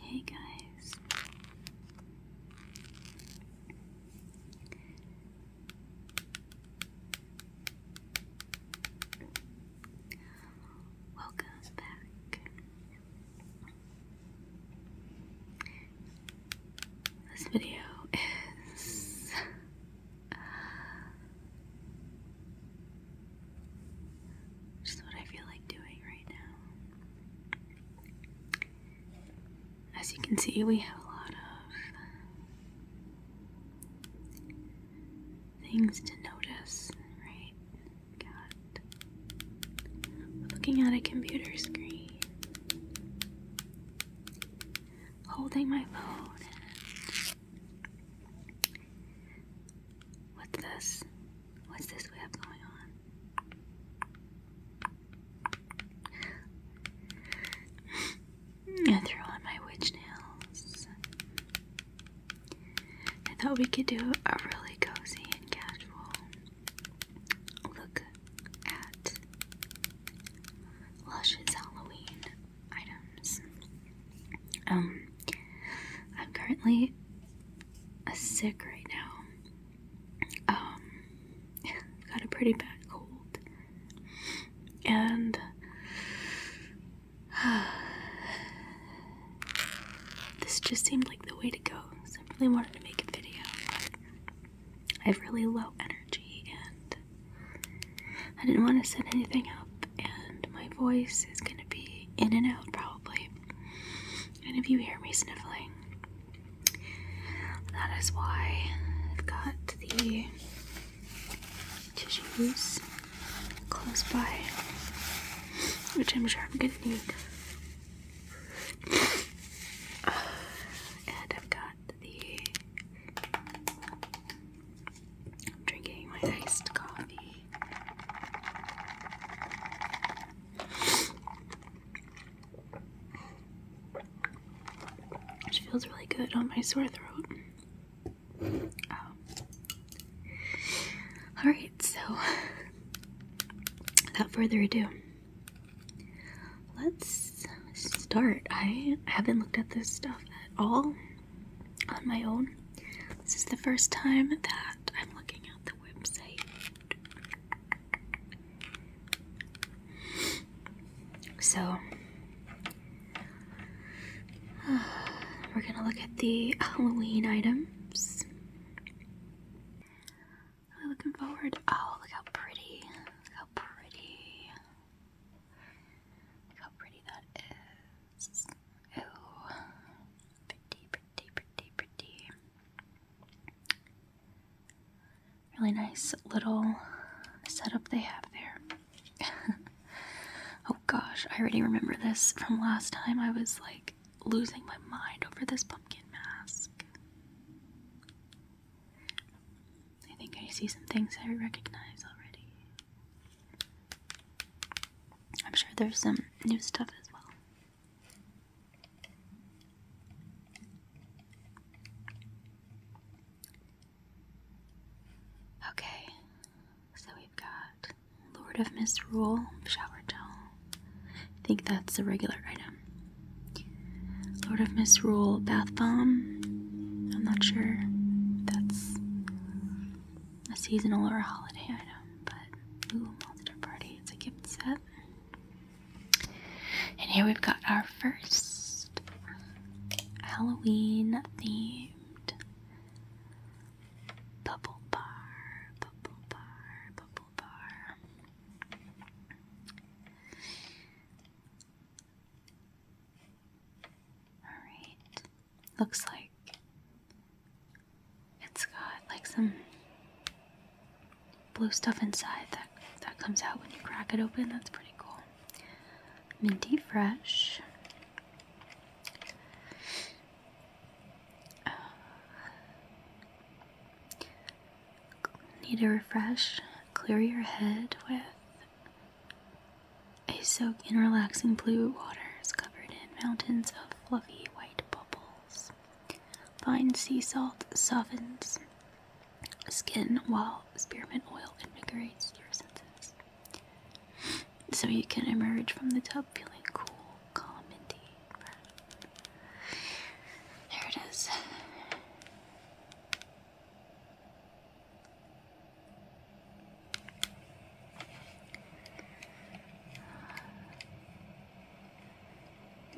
Hey guys. Welcome back. This video is just what I feel like doing right now. As you can see, we have a lot of things to notice, right? Got looking at a computer screen. Holding my phone What's this? What's this we have going on? I threw on my witch nails. I thought we could do a really cozy and casual look at Lush's Halloween items. Um, I'm currently sick right now. I've um, got a pretty bad cold, and this just seemed like the way to go. So I really wanted to make a video. I have really low energy, and I didn't want to send anything out and my voice is gonna be in and out probably. And if you hear me sniffling, that is why I've got the tissues close by, which I'm sure I'm gonna need. And I've got the I'm drinking my iced coffee. Which feels really good on my sore throat. Oh. Alright, so without further ado, let's start. I haven't looked at this stuff at all on my own. This is the first time that I'm looking at the website. So, we're gonna look at the Halloween items. Really looking forward. Oh, look how pretty! how pretty! Look how pretty that Ooh, pretty, pretty, pretty, pretty. Really nice little setup they have there. oh gosh, I already remember this from last time. I was like losing my mind over this pumpkin mask. I think I see some things I recognize already. I'm sure there's some new stuff as well. Okay, so we've got Lord of Misrule shower gel. I think that's a regular item. Lord of Misrule bath bomb. I'm not sure. That's a seasonal or a holiday item, but ooh, monster party, it's a gift set. And here we've got our first Halloween themed bubble bar, bubble bar, bubble bar. Alright, looks like it's got like some blue stuff inside that that comes out when you crack it open. That's pretty cool. Minty fresh. Uh, need a refresh. Clear your head with a soak in relaxing blue water is covered in mountains of fluffy white bubbles. Fine sea salt softens skin while spearmint oil invigorates your senses. So you can emerge from the tub feeling cool, calm, and deep. There it is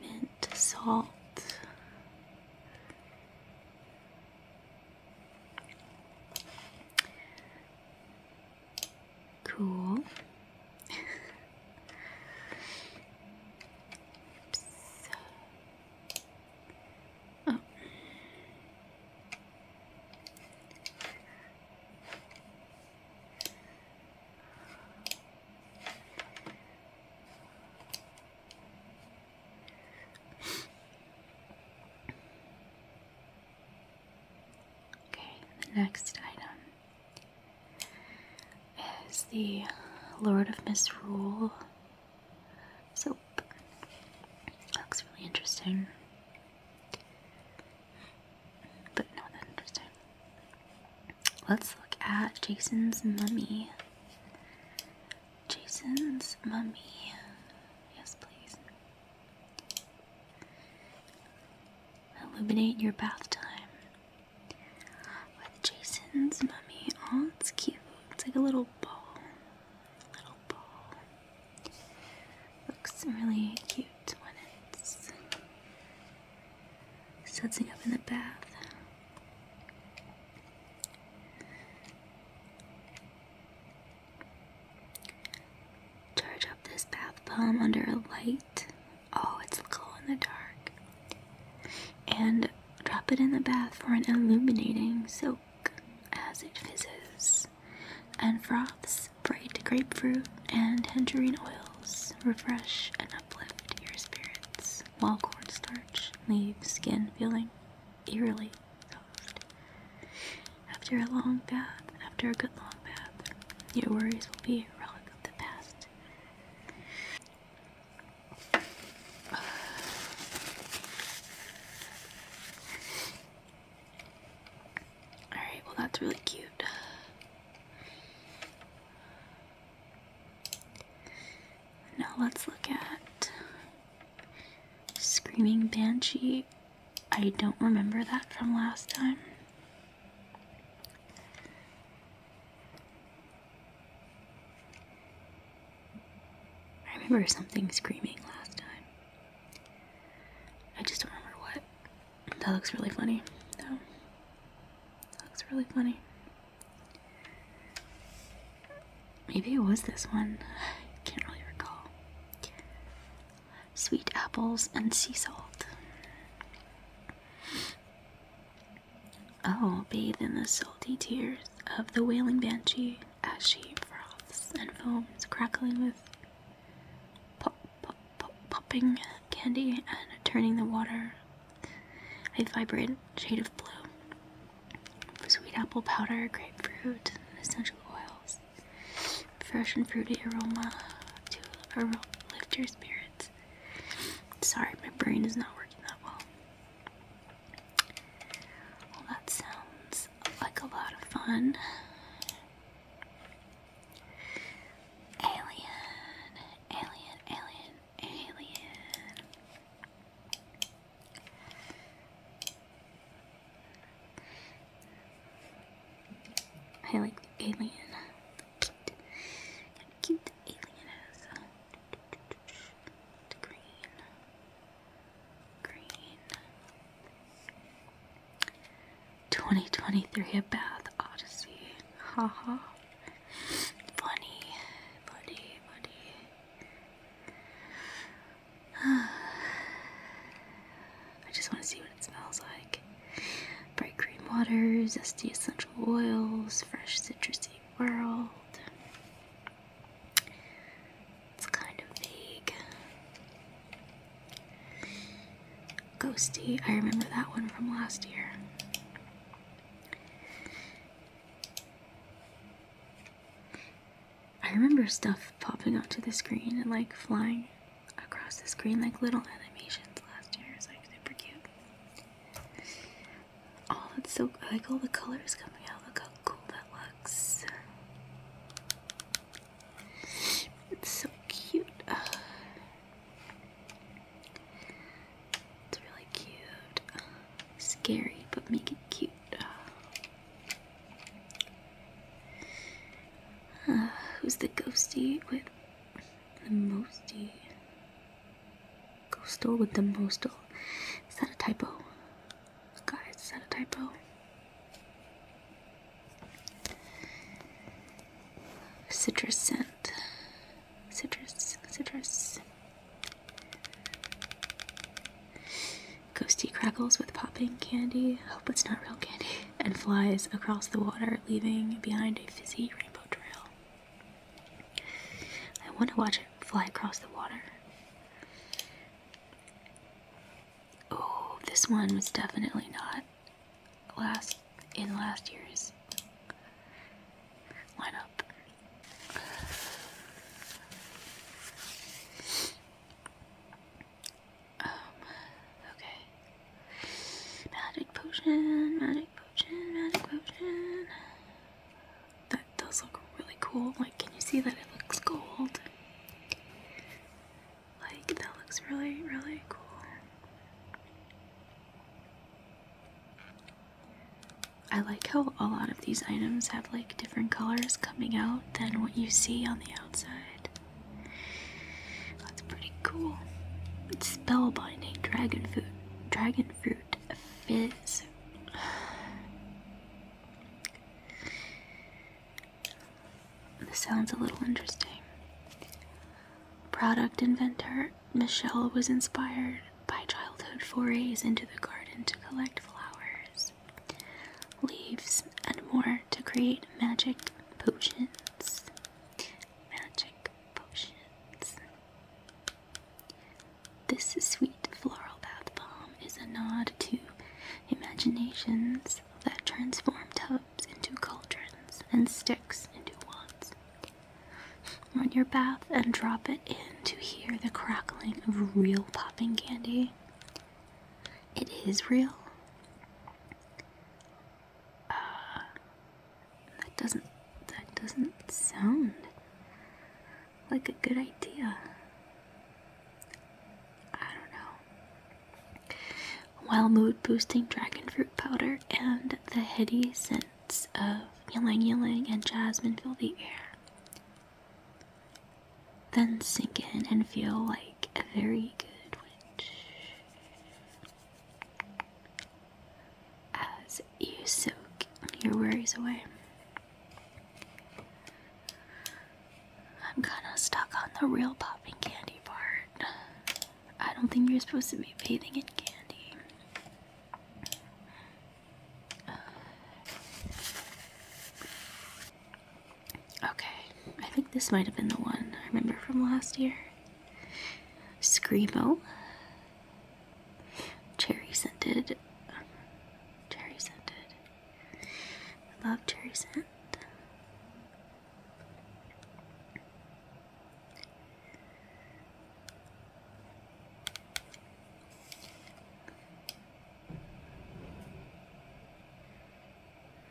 mint salt. Cool. Oh. Okay, the next item is the Lord of Misrule so, That looks really interesting. But not that interesting. Let's look at Jason's mummy. Jason's mummy. Yes, please. Illuminate your bath time with Jason's mummy. Oh, it's cute. It's like a little ball. Little ball. Looks really cute when it's sudsing up in the bath. Charge up this bath palm under a light. Oh, it's glow in the dark. And drop it in the bath for an illuminating soak as it fizzes, and froths bright grapefruit and tangerine oils refresh and uplift your spirits, while cornstarch leaves skin feeling eerily soft. After a long bath, after a good long bath, your worries will be a relic of the past. Alright, well, that's really cute. Now let's look at Screaming Banshee. I don't remember that from last time. I remember something screaming last time. I just don't remember what. That looks really funny, though. That looks really funny. Maybe it was this one. I can't really recall. Sweet apples and sea salt. Oh, bathe in the salty tears of the wailing banshee as she froths and foams, crackling with pop, pop, pop, popping candy and turning the water a vibrant shade of blue. Sweet apple powder, grapefruit, essential oils, fresh and fruity aroma to lift your spirits. Sorry, my brain is not working that well. Well, that sounds like a lot of fun. Alien, alien, alien, alien. I like the alien. cute, alien uh, Green. 2023 A Bath Odyssey. Haha. funny, funny, funny. I just want to see what it smells like. Bright green water, zesty essential oils, fresh citrusy world. It's kind of vague. Ghosty, I remember that one from last year. I remember stuff popping onto the screen and like flying across the screen like little animations last year. was like super cute. Oh, that's so I like all the colors coming out. Look how cool that looks. It's so cute. it's really cute. scary, but make it cute. who's the ghosty with the mosty? Ghostal with the mostal. Is that a typo? Guys, is that a typo? Citrus scent. Citrus, citrus. Ghosty crackles with popping candy. Hope it's not real candy. And flies across the water, leaving behind a fizzy rainbow trail. I want to watch it fly across the water. Oh, this one was definitely not last in last year's lineup. Um, okay. Magic potion, magic potion, magic potion that does look really cool. Like, can you see that it looks gold? Like, that looks really, really cool. I like how a lot of these items have like different colors coming out than what you see on the outside. That's pretty cool. It's spellbinding dragon fruit, dragon fruit fizz. This sounds a little interesting. Product inventor Michelle was inspired by childhood forays into the garden to collect flowers, leaves, and more to create magic potions. Magic potions. This sweet floral bath bomb is a nod to imaginations that transform tubs into cauldrons and sticks into wands. Run your bath and drop it in to hear the crackling of real popping candy. It is real. Uh, that doesn't that doesn't sound like a good idea. I don't know. While mood boosting dragon fruit powder and the heady scents of ylang ylang and jasmine fill the air. Then sink in and feel like a very good witch. As you soak your worries away. I'm kinda stuck on the real popping candy part. I don't think you're supposed to be bathing in candy. Uh, okay, I think this might have been the one I remember from last year. Screamo cherry scented. Cherry scented. I love cherry scent.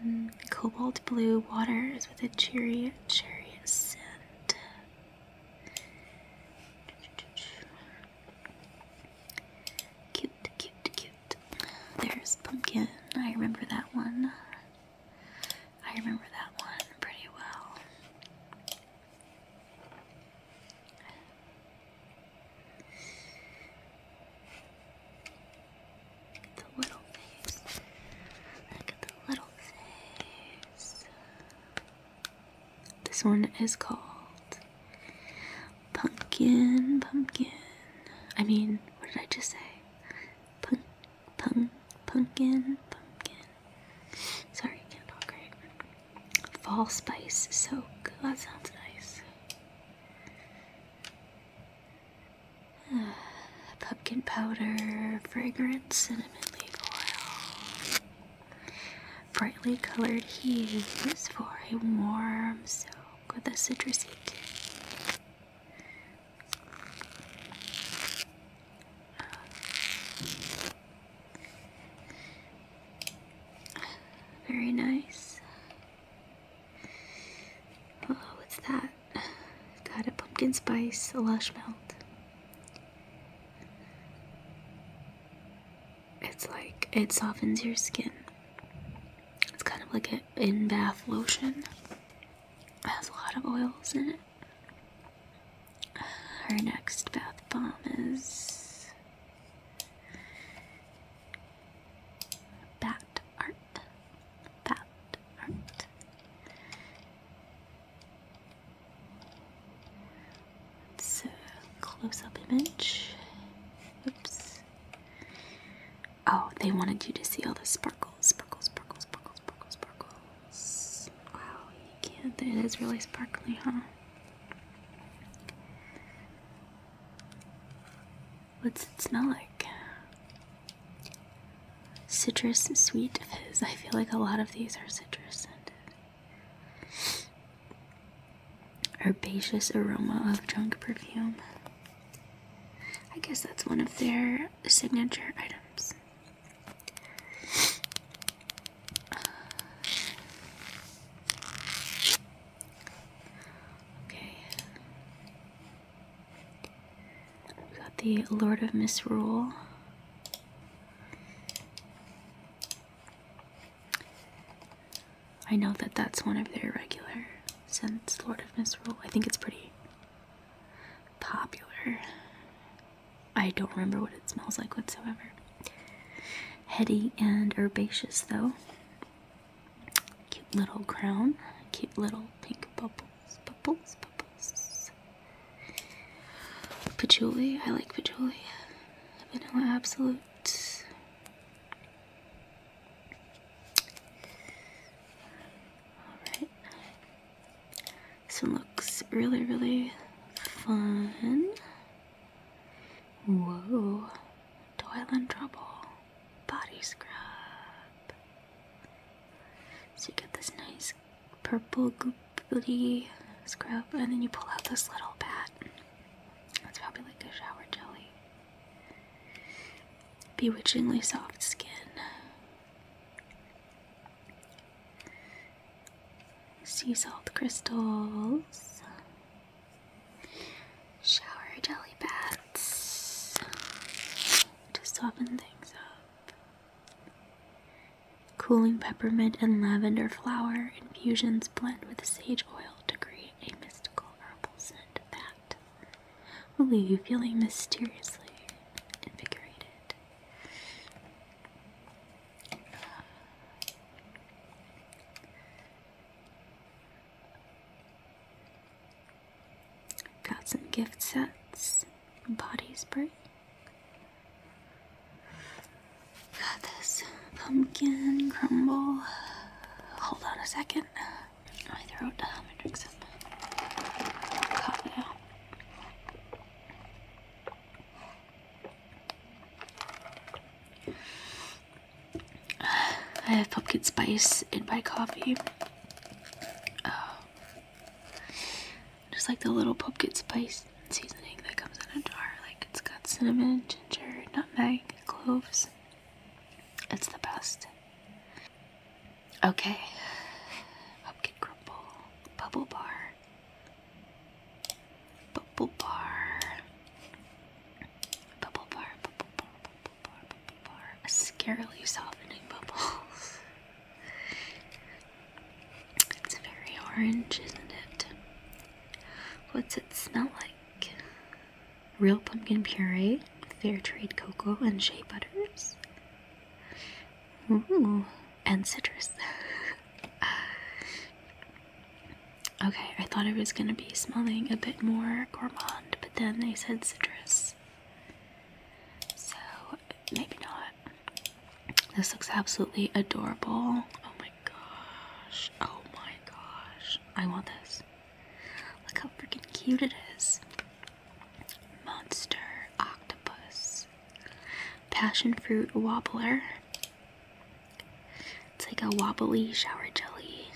Mm, cobalt blue water is with a cheery cherry scent. Cute, cute, cute. There's Pumpkin. I remember that one. I remember that one pretty well. the little face. Look at the little face. This one is called Pumpkin, Pumpkin. I mean, what did I just say? Punk, punk, pumpkin, pumpkin. Sorry, can't talk right. Fall Spice Soak. Oh, that sounds nice. Uh, pumpkin powder, fragrance, cinnamon leaf oil brightly colored hues for a warm soak with a citrusy kick. Uh, very nice. Oh, what's that? Got a pumpkin spice, a lush melt. It's like it softens your skin. It's kind of like an in bath lotion. It has a lot of oils in it. Our next bath bomb is Bat Art. Bat Art. It's a close-up image. Oops. Oh, they wanted you to see all the sparkles, sparkles, sparkles, sparkles, sparkles, sparkles. Wow, you can't. It is really sparkly, huh? What's it smell like? Citrus sweet fizz. I feel like a lot of these are citrus scented. Herbaceous aroma of junk perfume. I guess that's one of their signature items. Okay. We got the Lord of Misrule. I know that that's one of their regular since Lord of Misrule. I think it's pretty popular. I don't remember what it smells like whatsoever. Heady and herbaceous, though. Cute little crown. Cute little pink bubbles, bubbles, bubbles. Patchouli, I like patchouli. Vanilla Absolute. Alright. This one looks really, really fun. Whoa. Toil in Trouble. Body Scrub. So you get this nice purple goopy scrub, and then you pull out this little bat. That's probably like a shower jelly. Bewitchingly soft skin. Sea salt crystals. Shower jelly bats to soften things up. Cooling peppermint and lavender flower infusions blend with sage oil to create a mystical herbal scent that will leave you feeling mysteriously invigorated. Got some gift sets, body spray, Got this pumpkin crumble. Hold on a second. I throw the Dominatrix up. Cut it out. I have pumpkin spice in my coffee. Oh. Just like the little pumpkin spice seasoning that comes in a jar. Like it's got cinnamon, ginger, nutmeg, cloves. It's the best. Okay. Pumpkin crumble. Bubble bar. Bubble bar. Bubble bar, bubble bar, bubble bar, bubble bar. A scarily softening bubbles. It's very orange, isn't it? What's it smell like? Real pumpkin puree, fair trade cocoa, and shea butters. Ooh, and citrus. okay, I thought it was gonna be smelling a bit more gourmand, but then they said citrus. So maybe not. This looks absolutely adorable. Oh my gosh. Oh my gosh. I want this. Look how freaking cute it is. Monster octopus. Passion fruit wobbler. It's like a wobbly shower jelly.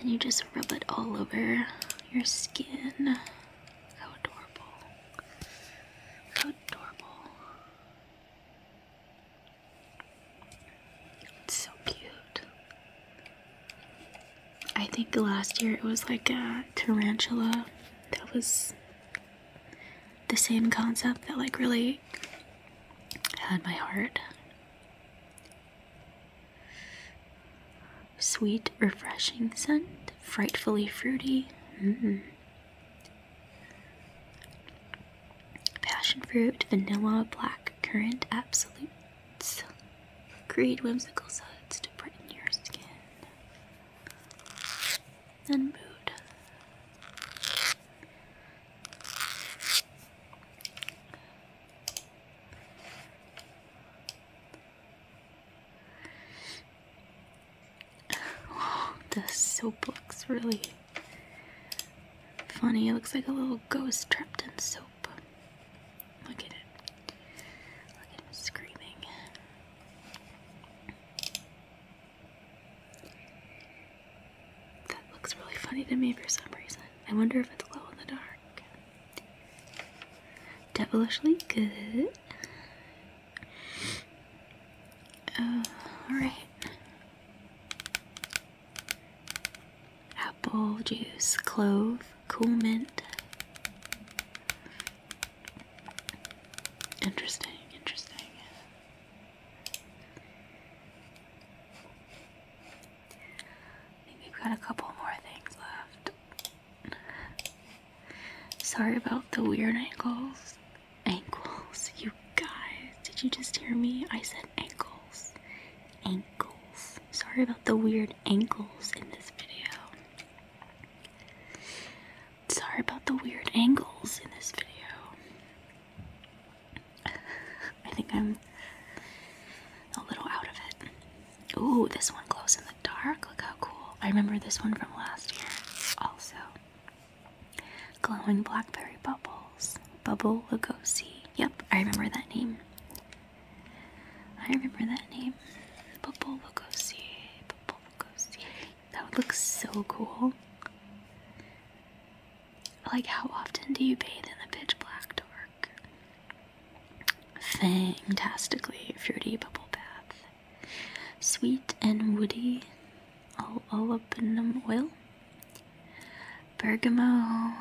And you just rub it all over your skin. How adorable adorable. so cute. I think last year it was like a tarantula that was the same concept that like really had my heart. Sweet, refreshing scent, frightfully fruity. Mm. Passion fruit, vanilla, black currant, absolutes. Create whimsical suds to brighten your skin. And mood. Oh, the soap looks really funny. It looks like a little ghost trapped in soap. Look at it. Look at him screaming. That looks really funny to me for some reason. I wonder if it's glow in the dark. Devilishly good. Uh, alright. Apple juice, clove, cool mint. Interesting, interesting. we've got a couple more things left. Sorry about the weird ankles. Ankles, you guys. Did you just hear me? I said ankles. Ankles. Sorry about the weird ankles in this video. Sorry about the weird angles in this video. I think I'm a little out of it. Ooh, this one glows in the dark. Look how cool. I remember this one from last year also. Glowing Blackberry Bubbles. Bubble Lugosi. Yep, I remember that name. I remember that name. Bubble Lugosi. Bubble Lugosi. That would look so cool. Like, how often do you bathe in the pitch black dark? Fantastically fruity bubble bath. Sweet and woody up in olibanum oil. Bergamot,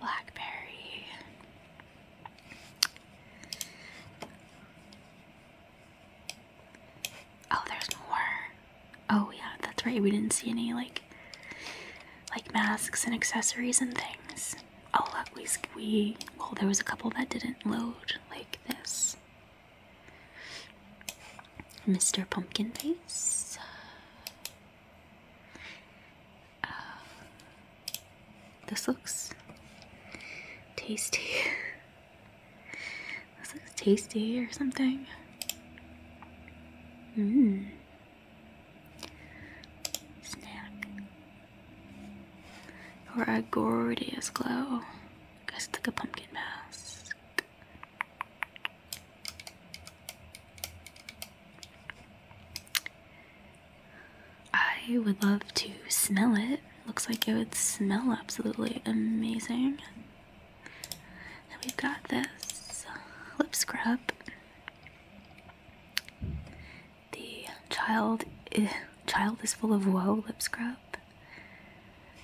blackberry. Oh, there's more. Oh yeah, that's right. We didn't see any like like masks and accessories and things. Oh, lot we we well there was a couple that didn't load like this. Mr. Pumpkin Face. Uh, this looks tasty. this looks tasty or something. Mmm. Snack. Or a gorgeous glow. Guys, it's like a pumpkin mask. I would love to smell it. Looks like it would smell absolutely amazing. we've got this lip scrub. The child is, child is full of woe lip scrub.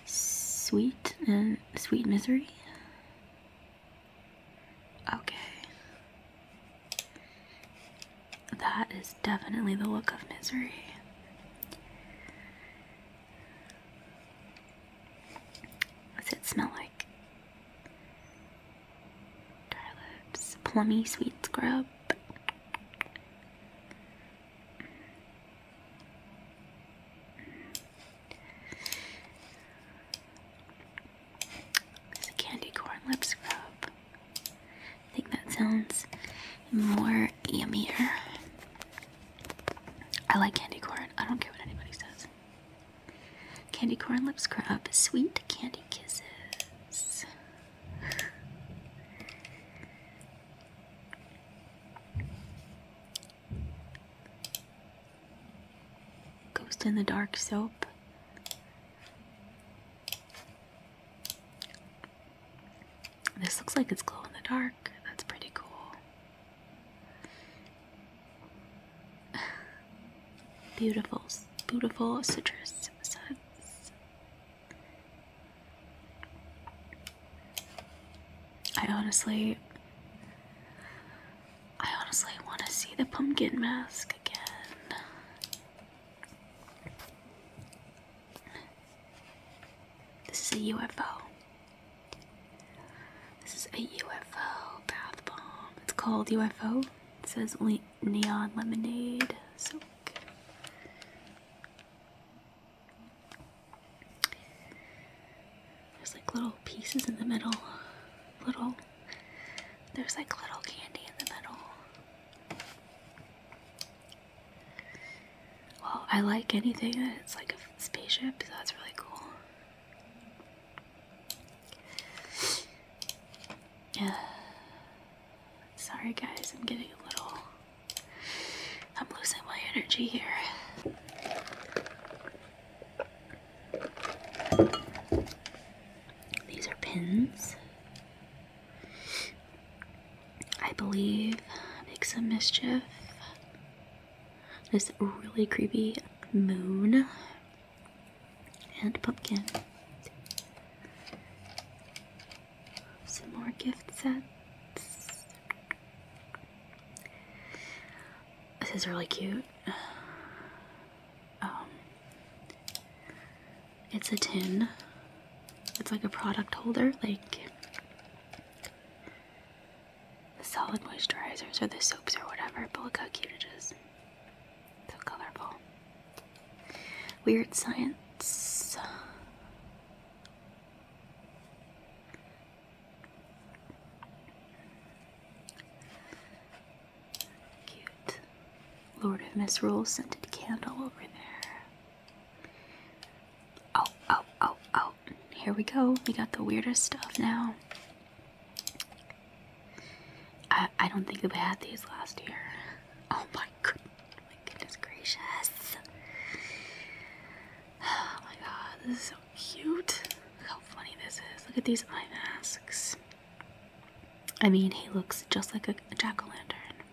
Sweet and uh, sweet misery. Okay. That is definitely the look of misery. What's it smell like? Dry lips, plummy sweet scrub. There's a candy corn lip scrub. I think that sounds more yummier. I like candy corn. I don't care what anybody says. Candy corn lip scrub, sweet candy kisses. Ghost in the Dark soap. This looks like it's glow in the dark. That's pretty cool. Beautiful, beautiful citrus scents. I honestly, I honestly want to see the pumpkin mask again. This is a UFO. This is a UFO bath bomb. It's called UFO. It says link neon lemonade. So There's like little pieces in the middle. Little. There's like little candy in the middle. Well, I like anything that's like a spaceship, that's really cool. Yeah. Sorry, guys, I'm getting a little. I'm losing my energy here. These are pins. I believe make some mischief. This really creepy moon and pumpkin. Some more gift sets. This is really cute. Um, it's a tin. It's like a product holder, like the solid moisturizers or the soaps or whatever. But look how cute it is. So colorful. Weird science. Cute. Lord of Misrule scented candle over there. Oh, oh, oh, oh. Here we go. We got the weirdest stuff now. I, I don't think we had these last year. Oh my oh goodness gracious! Oh my god, this is so cute. Look how funny this is. Look at these eye masks. I mean, he looks just like a jack o' lantern.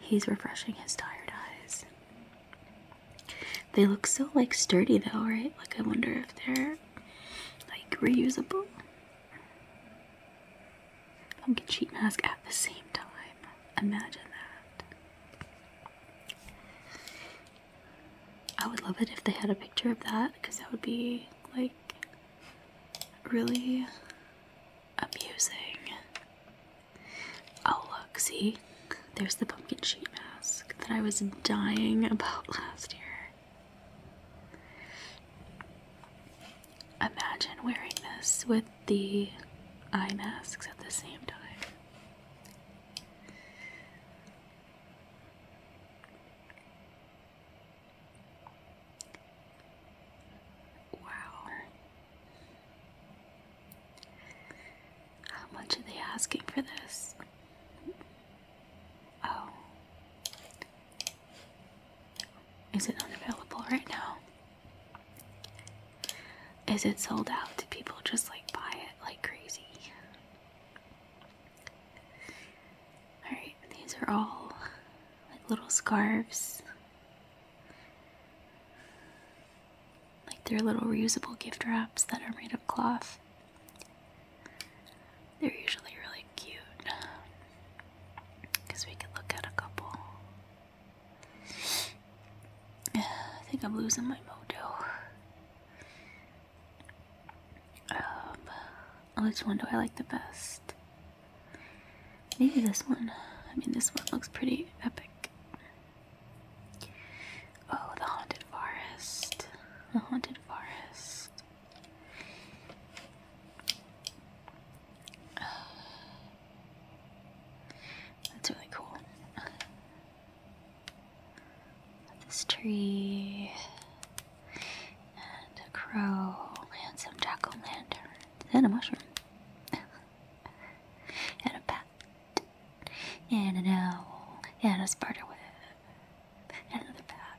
He's refreshing his tired eyes. They look so like sturdy though, right? Like I wonder if they're like reusable. Pumpkin sheet mask at the same time. Imagine that. I would love it if they had a picture of that because that would be like really amusing. Oh, look, see? There's the pumpkin sheet mask that I was dying about last year. Imagine wearing this with the eye masks at the same time. Wow. How much are they asking for this? Oh. Is it unavailable right now? Is it sold out? Do people just like buy it like crazy? Alright, these are all like little scarves. Like they're little reusable gift wraps that are made of cloth. They're usually really cute because we could look at a couple. I think I'm losing my mojo. Um, which one do I like the best? Maybe this one. I mean, this one looks pretty epic. Oh, the haunted forest. The haunted forest. That's really cool. This tree and a crow and some jack o' lanterns and a mushroom and a bat and an owl and a spider web and another bat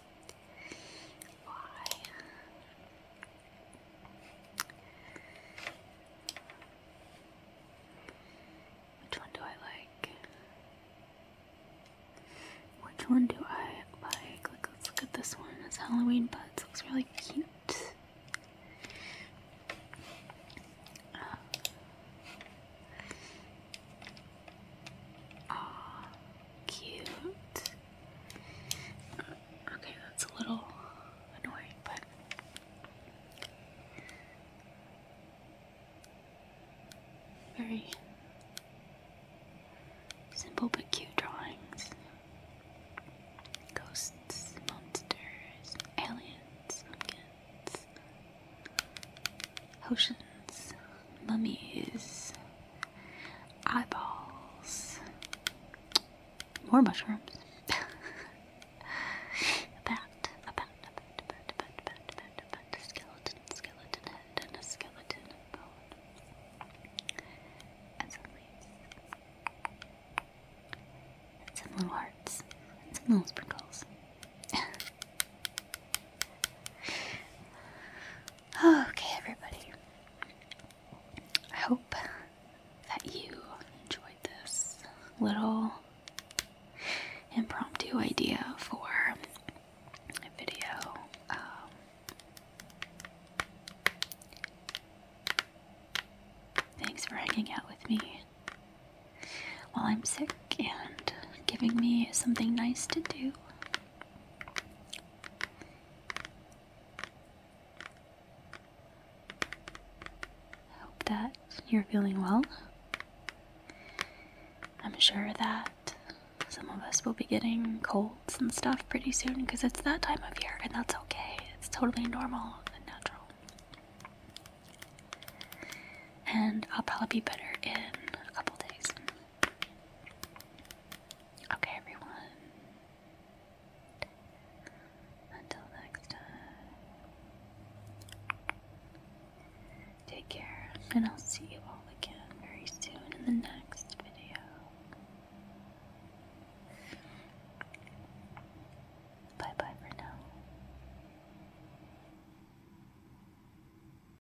Which one do I like? Which one do I like? let's look at this one. It's Halloween but it Looks really cute. Aw, cute. Okay, that's a little annoying, but. Very simple but cute drawings. Ghosts, monsters, aliens, potions, mummies, eyeballs, more mushrooms. a bat, a bat, a bat, a bat, a bat, a bat, a bat, a bat, a skeleton, skeleton head, and a skeleton bone. some leaves. some little hearts. some little sprinkles. Okay, everybody. I hope that you enjoyed this little impromptu idea for a video. Um, thanks for hanging out with me while I'm sick and giving me something nice to do. I hope that you're feeling well. I'm sure that some of us will be getting colds and stuff pretty soon because it's that time of year, and that's okay. It's totally normal and natural. And I'll probably be better in a couple days. Okay, everyone. Until next time. Take care, and I'll see you all again very soon in the next video. Bye bye for now.